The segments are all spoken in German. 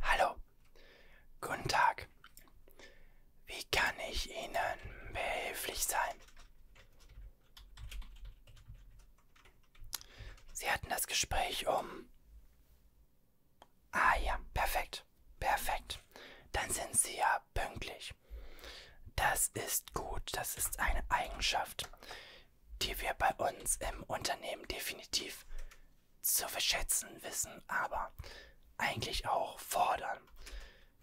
Hallo, guten Tag. Wie kann ich Ihnen behilflich sein? Sie hatten das Gespräch um... Ah ja, perfekt, perfekt. Dann sind Sie ja pünktlich. Das ist gut, das ist eine Eigenschaft, die wir bei uns im Unternehmen definitiv zu verschätzen wissen, aber eigentlich auch fordern,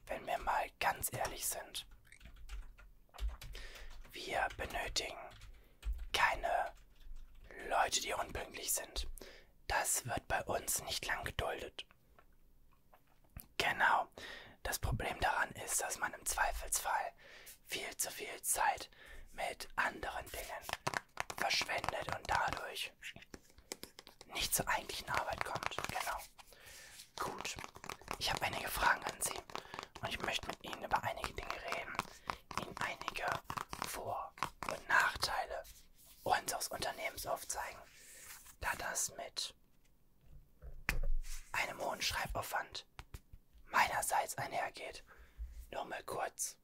wenn wir mal ganz ehrlich sind. Wir benötigen keine Leute, die unpünktlich sind. Das wird bei uns nicht lang geduldet. Genau, das Problem daran ist, dass man im Zweifelsfall viel zu viel Zeit mit anderen Dingen verschwendet und dadurch nicht zur eigentlichen Arbeit kommt. Genau. Gut. Ich habe einige Fragen an Sie und ich möchte mit Ihnen über einige Dinge reden, Ihnen einige Vor- und Nachteile unseres Unternehmens aufzeigen, da das mit einem hohen Schreibaufwand meinerseits einhergeht. Nur mal kurz.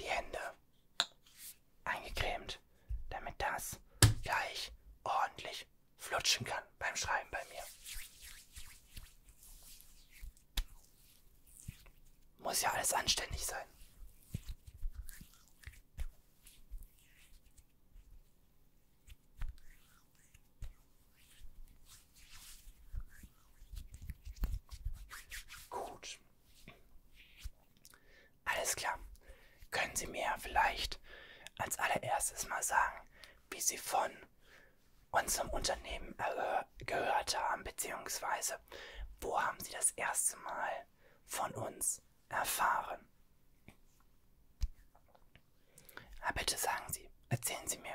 Die Hände eingecremt, damit das gleich ordentlich flutschen kann beim Schreiben bei mir. Muss ja alles anständig sein. Gut. Alles klar. Können Sie mir vielleicht als allererstes mal sagen, wie Sie von unserem Unternehmen gehört haben, beziehungsweise wo haben Sie das erste Mal von uns erfahren? Aber ah, bitte sagen Sie, erzählen Sie mir.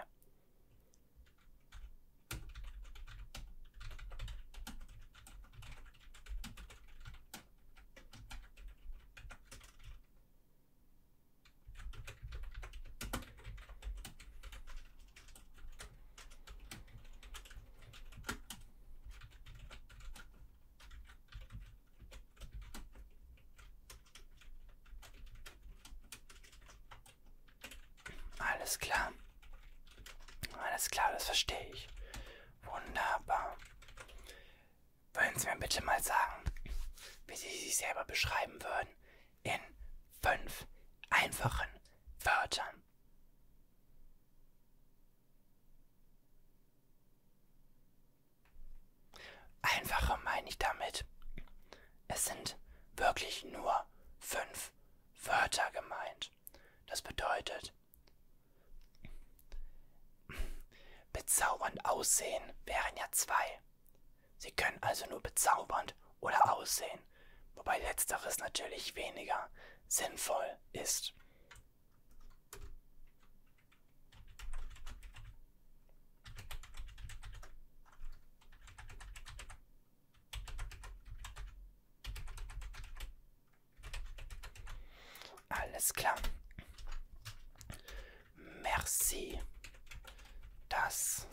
Alles klar. Alles klar, das verstehe ich. Wunderbar. Wollen Sie mir bitte mal sagen, wie Sie sich selber beschreiben würden in fünf einfachen Wörtern? Einfache meine ich damit. Es sind wirklich nur fünf Wörter gemeint. Das bedeutet, bezaubernd aussehen wären ja zwei. Sie können also nur bezaubernd oder aussehen, wobei letzteres natürlich weniger sinnvoll ist. Alles klar. Merci. Das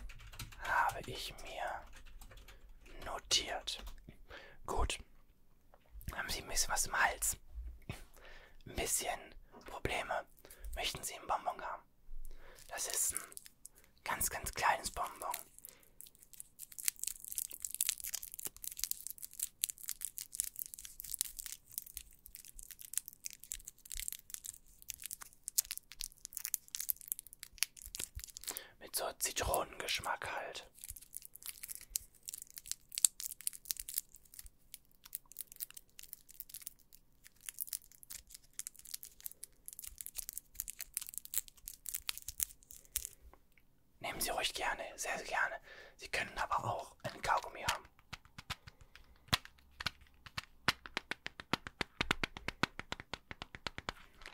habe ich mir notiert. Gut. Haben Sie ein bisschen was im Hals? Ein bisschen Probleme möchten Sie einen Bonbon haben? Das ist ein ganz, ganz kleines Bonbon. Mit so Zitronengeschmack halt. Nehmen Sie ruhig gerne, sehr, sehr gerne. Sie können aber auch einen Kaugummi haben.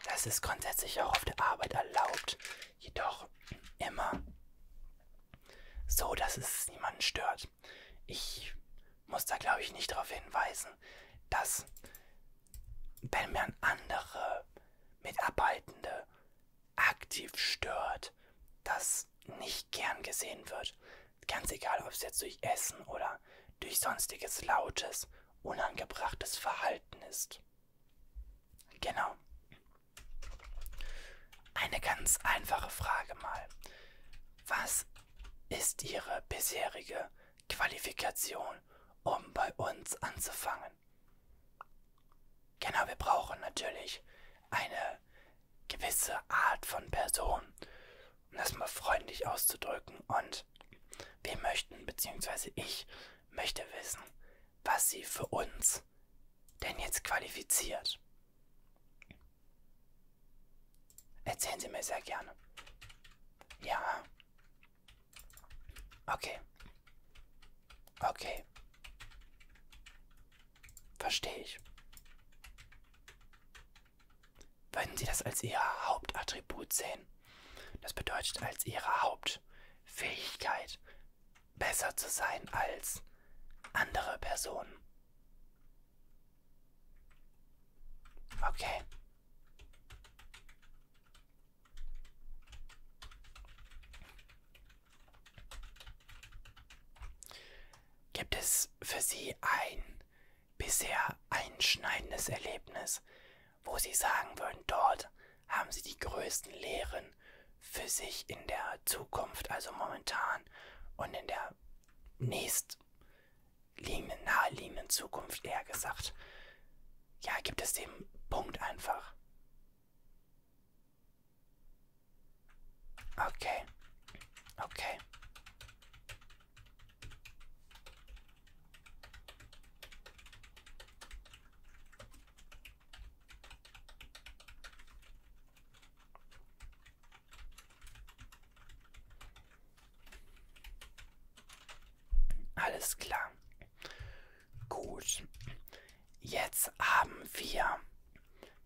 Das ist grundsätzlich auch auf der Arbeit erlaubt, jedoch immer so, dass es niemanden stört. Ich muss da, glaube ich, nicht darauf hinweisen, dass wenn man andere Mitarbeitende aktiv stört, das nicht gern gesehen wird. Ganz egal, ob es jetzt durch Essen oder durch sonstiges lautes, unangebrachtes Verhalten ist. Genau. Eine ganz einfache Frage mal. Was ist Ihre bisherige Qualifikation, um bei uns anzufangen? Genau, wir brauchen natürlich eine gewisse Art von Person, um das mal freundlich auszudrücken. Und wir möchten, beziehungsweise ich möchte wissen, was Sie für uns denn jetzt qualifiziert. Erzählen Sie mir sehr gerne. Ja. Okay. Okay. Verstehe ich. Würden Sie das als Ihr Hauptattribut sehen? Das bedeutet als Ihre Hauptfähigkeit besser zu sein als andere Personen. Okay. Gibt es für Sie ein bisher einschneidendes Erlebnis, wo Sie sagen würden, dort haben Sie die größten Lehren Viren für sich in der Zukunft, also momentan und in der nächstliegenden, naheliegenden Zukunft eher gesagt, ja, gibt es den Punkt einfach. Okay, okay. Alles klar. Gut. Jetzt haben wir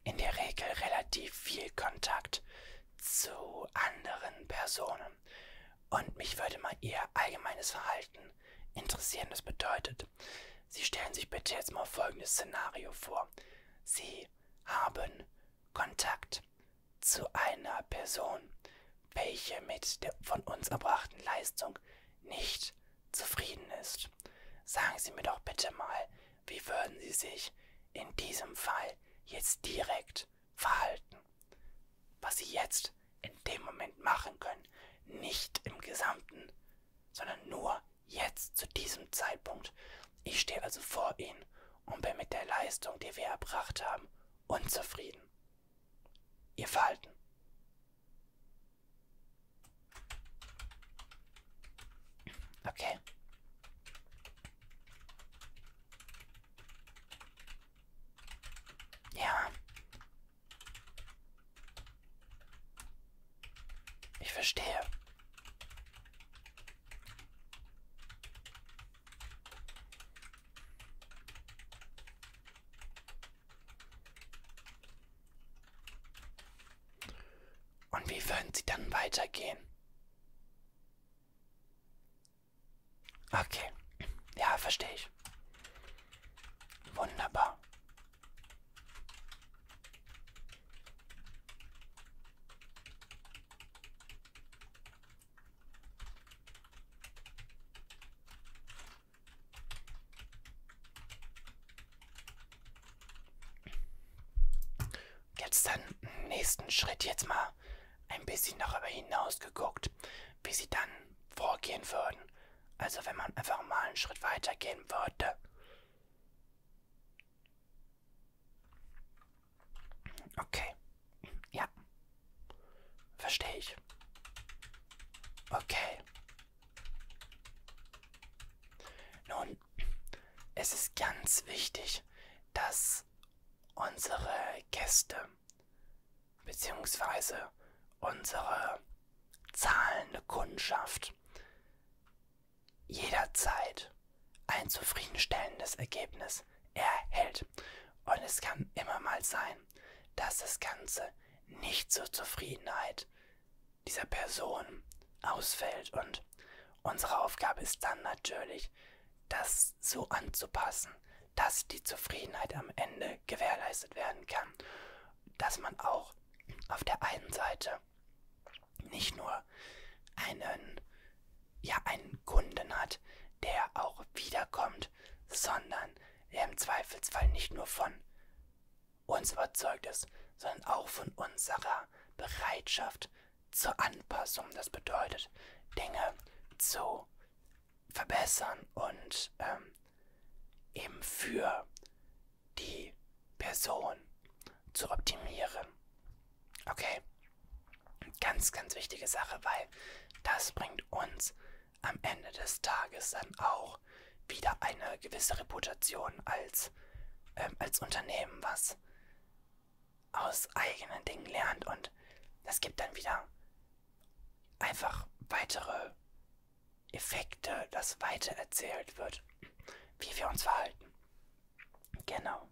in der Regel relativ viel Kontakt zu anderen Personen. Und mich würde mal Ihr allgemeines Verhalten interessieren. Das bedeutet, gemacht. Sie stellen sich bitte jetzt mal folgendes Szenario vor. Sie haben Kontakt zu einer Person, welche mit der von uns erbrachten Leistung nicht zufrieden ist. Sagen Sie mir doch bitte mal, wie würden Sie sich in diesem Fall jetzt direkt verhalten? Was Sie jetzt in dem Moment machen können, nicht im Gesamten, sondern nur jetzt zu diesem Zeitpunkt. Ich stehe also vor Ihnen und bin mit der Leistung, die wir erbracht haben, unzufrieden. Ihr Verhalten. Okay. Ja. Ich verstehe. Und wie würden Sie dann weitergehen? Okay. Ja, verstehe ich. Wunderbar. Jetzt dann im nächsten Schritt jetzt mal ein bisschen darüber hinaus geguckt, wie sie dann vorgehen würden. Also wenn man einfach mal einen Schritt weiter gehen würde. Okay. Ja. Verstehe ich. Okay. Nun, es ist ganz wichtig, dass unsere Gäste beziehungsweise unsere zahlende Kundschaft jederzeit ein zufriedenstellendes Ergebnis erhält. Und es kann immer mal sein, dass das Ganze nicht zur Zufriedenheit dieser Person ausfällt. Und unsere Aufgabe ist dann natürlich, das so anzupassen, dass die Zufriedenheit am Ende gewährleistet werden kann. Dass man auch auf der einen Seite nicht nur einen, ja, einen Kunden hat, der auch wiederkommt, sondern der im Zweifelsfall nicht nur von uns überzeugt ist, sondern auch von unserer Bereitschaft zur Anpassung. Das bedeutet, Dinge zu verbessern und ähm, eben für die Person zu optimieren. Okay? Ganz, ganz wichtige Sache, weil das bringt uns am Ende des Tages dann auch wieder eine gewisse Reputation als, ähm, als Unternehmen, was aus eigenen Dingen lernt und das gibt dann wieder einfach weitere Effekte, das weitererzählt wird, wie wir uns verhalten. Genau.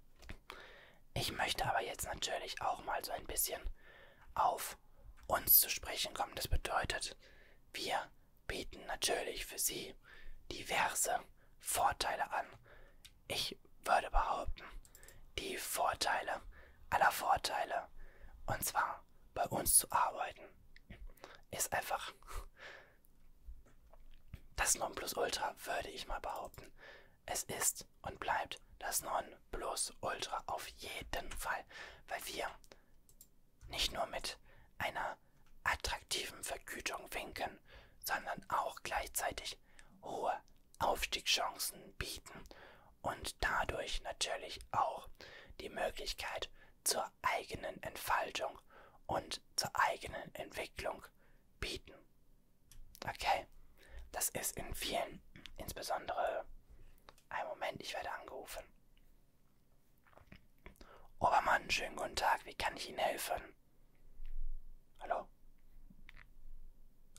Ich möchte aber jetzt natürlich auch mal so ein bisschen auf uns zu sprechen kommen. Das bedeutet, wir bieten natürlich für Sie diverse Vorteile an. Ich würde behaupten, die Vorteile aller Vorteile. Und zwar bei uns zu arbeiten ist einfach das Nonplusultra würde ich mal behaupten. Es ist und bleibt das Nonplusultra auf jeden Fall, weil wir nicht nur mit einer attraktiven Vergütung winken, sondern auch gleichzeitig hohe Aufstiegschancen bieten und dadurch natürlich auch die Möglichkeit zur eigenen Entfaltung und zur eigenen Entwicklung bieten. Okay, das ist in vielen, insbesondere, ein Moment, ich werde angerufen. Obermann, schönen guten Tag, wie kann ich Ihnen helfen? Hallo?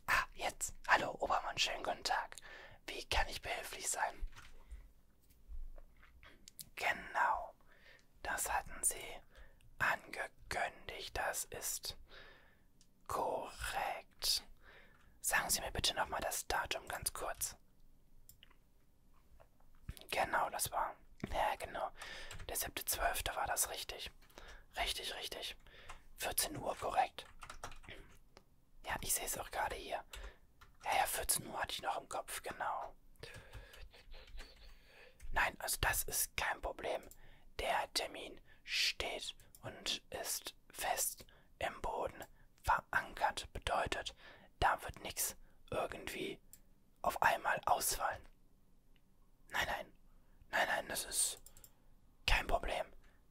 Ah, jetzt. Hallo, Obermann, schönen guten Tag. Wie kann ich behilflich sein? Genau, das hatten sie angekündigt. Das ist korrekt. Sagen Sie mir bitte nochmal das Datum ganz kurz. Genau, das war. Ja, genau. Der 7.12. war das richtig. Richtig, richtig. 14 Uhr, korrekt. Ja, ich sehe es auch gerade hier. Ja, ja, 14 Uhr hatte ich noch im Kopf, genau. Nein, also das ist kein Problem. Der Termin steht und ist fest im Boden verankert. Bedeutet, da wird nichts irgendwie auf einmal ausfallen. Nein, nein, nein, nein, das ist kein Problem.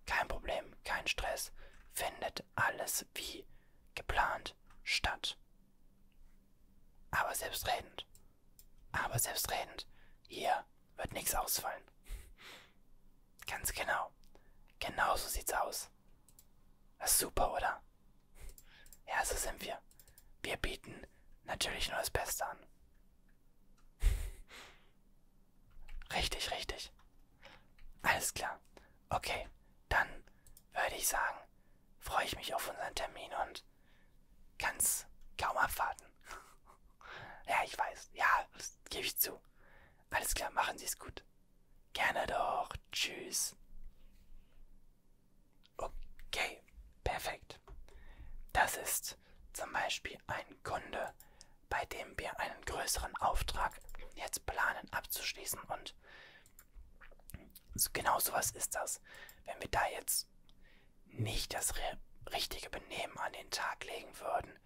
Kein Problem, kein Stress. Findet alles wie geplant statt. Aber selbstredend. Aber selbstredend. Hier wird nichts ausfallen. Ganz genau. Genau so sieht's aus. Das ist super, oder? Ja, so sind wir. Wir bieten natürlich nur das Beste an. richtig, richtig. Alles klar. Okay, dann würde ich sagen, freue ich mich auf unseren Termin und kann's kaum abwarten. ja, ich weiß. Ja, das gebe ich zu. Alles klar, machen Sie es gut. Gerne doch. Tschüss. Okay, perfekt. Das ist zum Beispiel ein Kunde, bei dem wir einen größeren Auftrag jetzt planen abzuschließen und Genau sowas ist das. Wenn wir da jetzt nicht das richtige Benehmen an den Tag legen würden,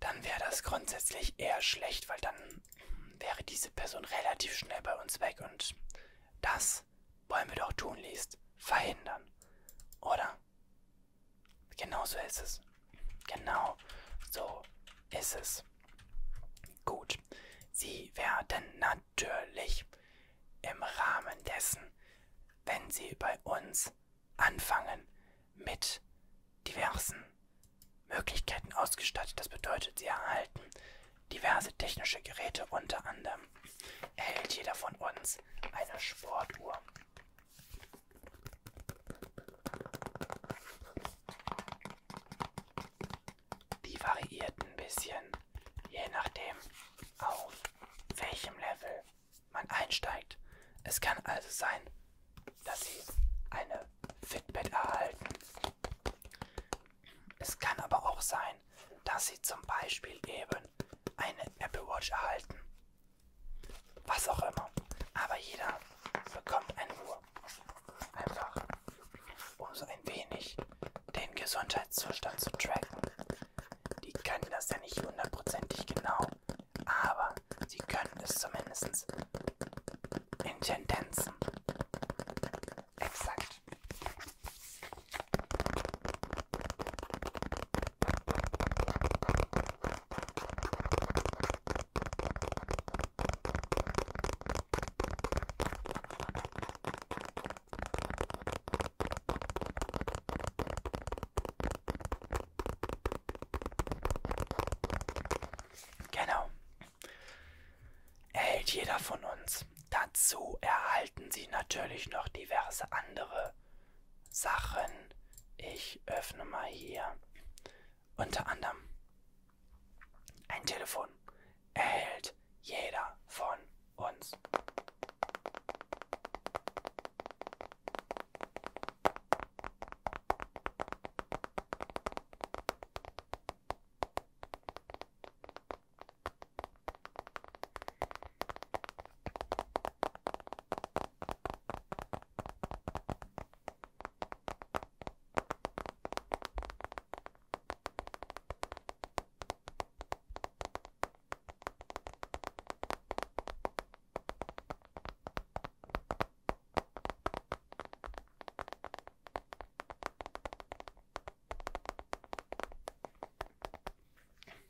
dann wäre das grundsätzlich eher schlecht, weil dann wäre diese Person relativ schnell bei uns weg und das wollen wir doch tunlichst verhindern, oder? Genau so ist es. Genau, so ist es. Gut, Sie werden natürlich im Rahmen dessen, wenn Sie bei uns anfangen, mit diversen Möglichkeiten ausgestattet. Das bedeutet, Sie erhalten diverse technische Geräte, unter anderem erhält jeder von uns eine Sportuhr. Die variiert ein bisschen, je nachdem, auf welchem Level man einsteigt. Es kann also sein, dass sie eine Fitbit erhalten. Es kann aber auch sein, dass sie zum Beispiel eben eine Apple Watch erhalten. Was auch immer. Aber jeder bekommt eine Uhr. Einfach, um so ein wenig den Gesundheitszustand zu tracken. Die können das ja nicht hundertprozentig genau, aber sie können es zumindest in Tendenzen. Exakt. Genau. Erhält jeder von uns. Dazu erhalten Sie natürlich noch diverse andere Sachen. Ich öffne mal hier unter anderem ein Telefon erhält jeder von uns.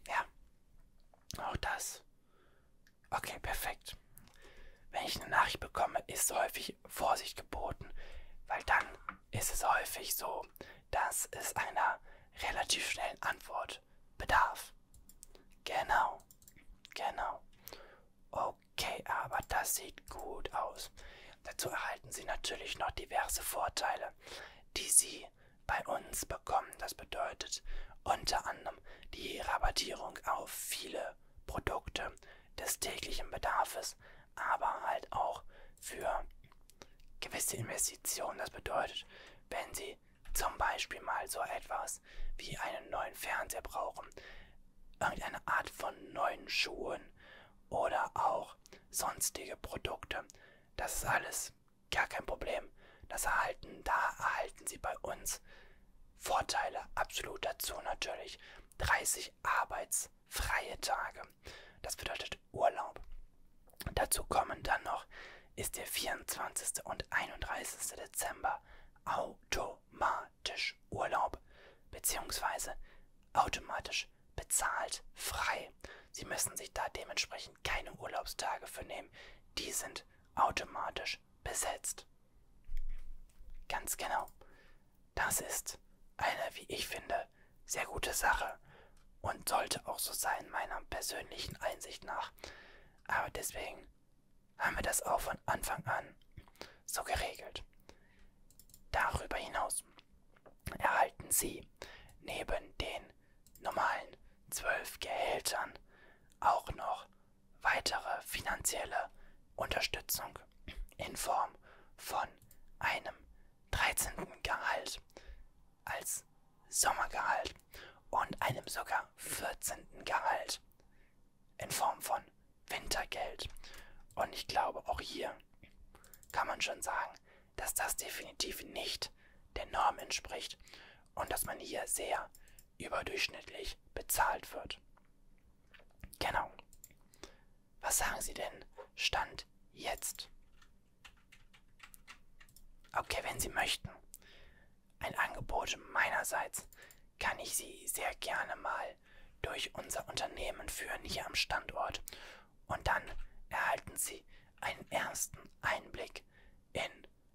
Ja, auch das Okay, perfekt. Wenn ich eine Nachricht bekomme, ist häufig Vorsicht geboten, weil dann ist es häufig so, dass es einer relativ schnellen Antwort bedarf. Genau, genau. Okay, aber das sieht gut aus. Dazu erhalten Sie natürlich noch diverse Vorteile, die Sie bei uns bekommen. Das bedeutet unter anderem die Rabattierung auf viele Produkte des täglichen Bedarfes, aber halt auch für gewisse Investitionen. Das bedeutet, wenn Sie zum Beispiel mal so etwas wie einen neuen Fernseher brauchen, irgendeine Art von neuen Schuhen oder auch sonstige Produkte, das ist alles gar kein Problem. Das erhalten, da erhalten Sie bei uns Vorteile absolut dazu natürlich. 30 arbeitsfreie Tage. Das bedeutet Urlaub. Dazu kommen dann noch, ist der 24. und 31. Dezember automatisch Urlaub, beziehungsweise automatisch bezahlt frei. Sie müssen sich da dementsprechend keine Urlaubstage für nehmen. Die sind automatisch besetzt. Ganz genau. Das ist eine, wie ich finde, sehr gute Sache und sollte auch so sein, meiner persönlichen Einsicht nach. Aber deswegen haben wir das auch von Anfang an so geregelt. Darüber hinaus erhalten Sie neben den normalen zwölf Gehältern auch noch weitere finanzielle Unterstützung in Form von einem 13. Gehalt als Sommergehalt und einem sogar 14. Gehalt in Form von Wintergeld. Und ich glaube, auch hier kann man schon sagen, dass das definitiv nicht der Norm entspricht und dass man hier sehr überdurchschnittlich bezahlt wird. Genau. Was sagen Sie denn? Stand jetzt. Okay, wenn Sie möchten. Ein Angebot meinerseits kann ich Sie sehr gerne mal durch unser Unternehmen führen hier am Standort. Und dann erhalten Sie einen ersten Einblick in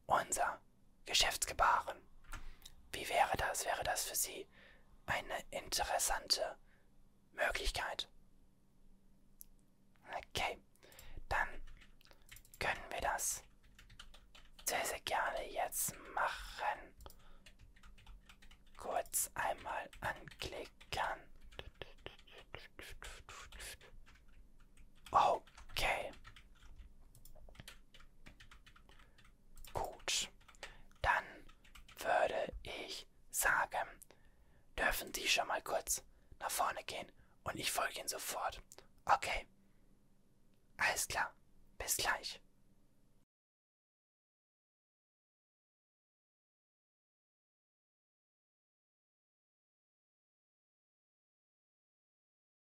unser Geschäftsgebaren. Wie wäre das? Wäre das für Sie eine interessante Möglichkeit? Okay, dann können wir das sehr, sehr gerne jetzt machen. Kurz einmal anklicken. Okay. Gut, dann würde ich sagen, dürfen Sie schon mal kurz nach vorne gehen und ich folge Ihnen sofort. Okay. Alles klar. Bis gleich.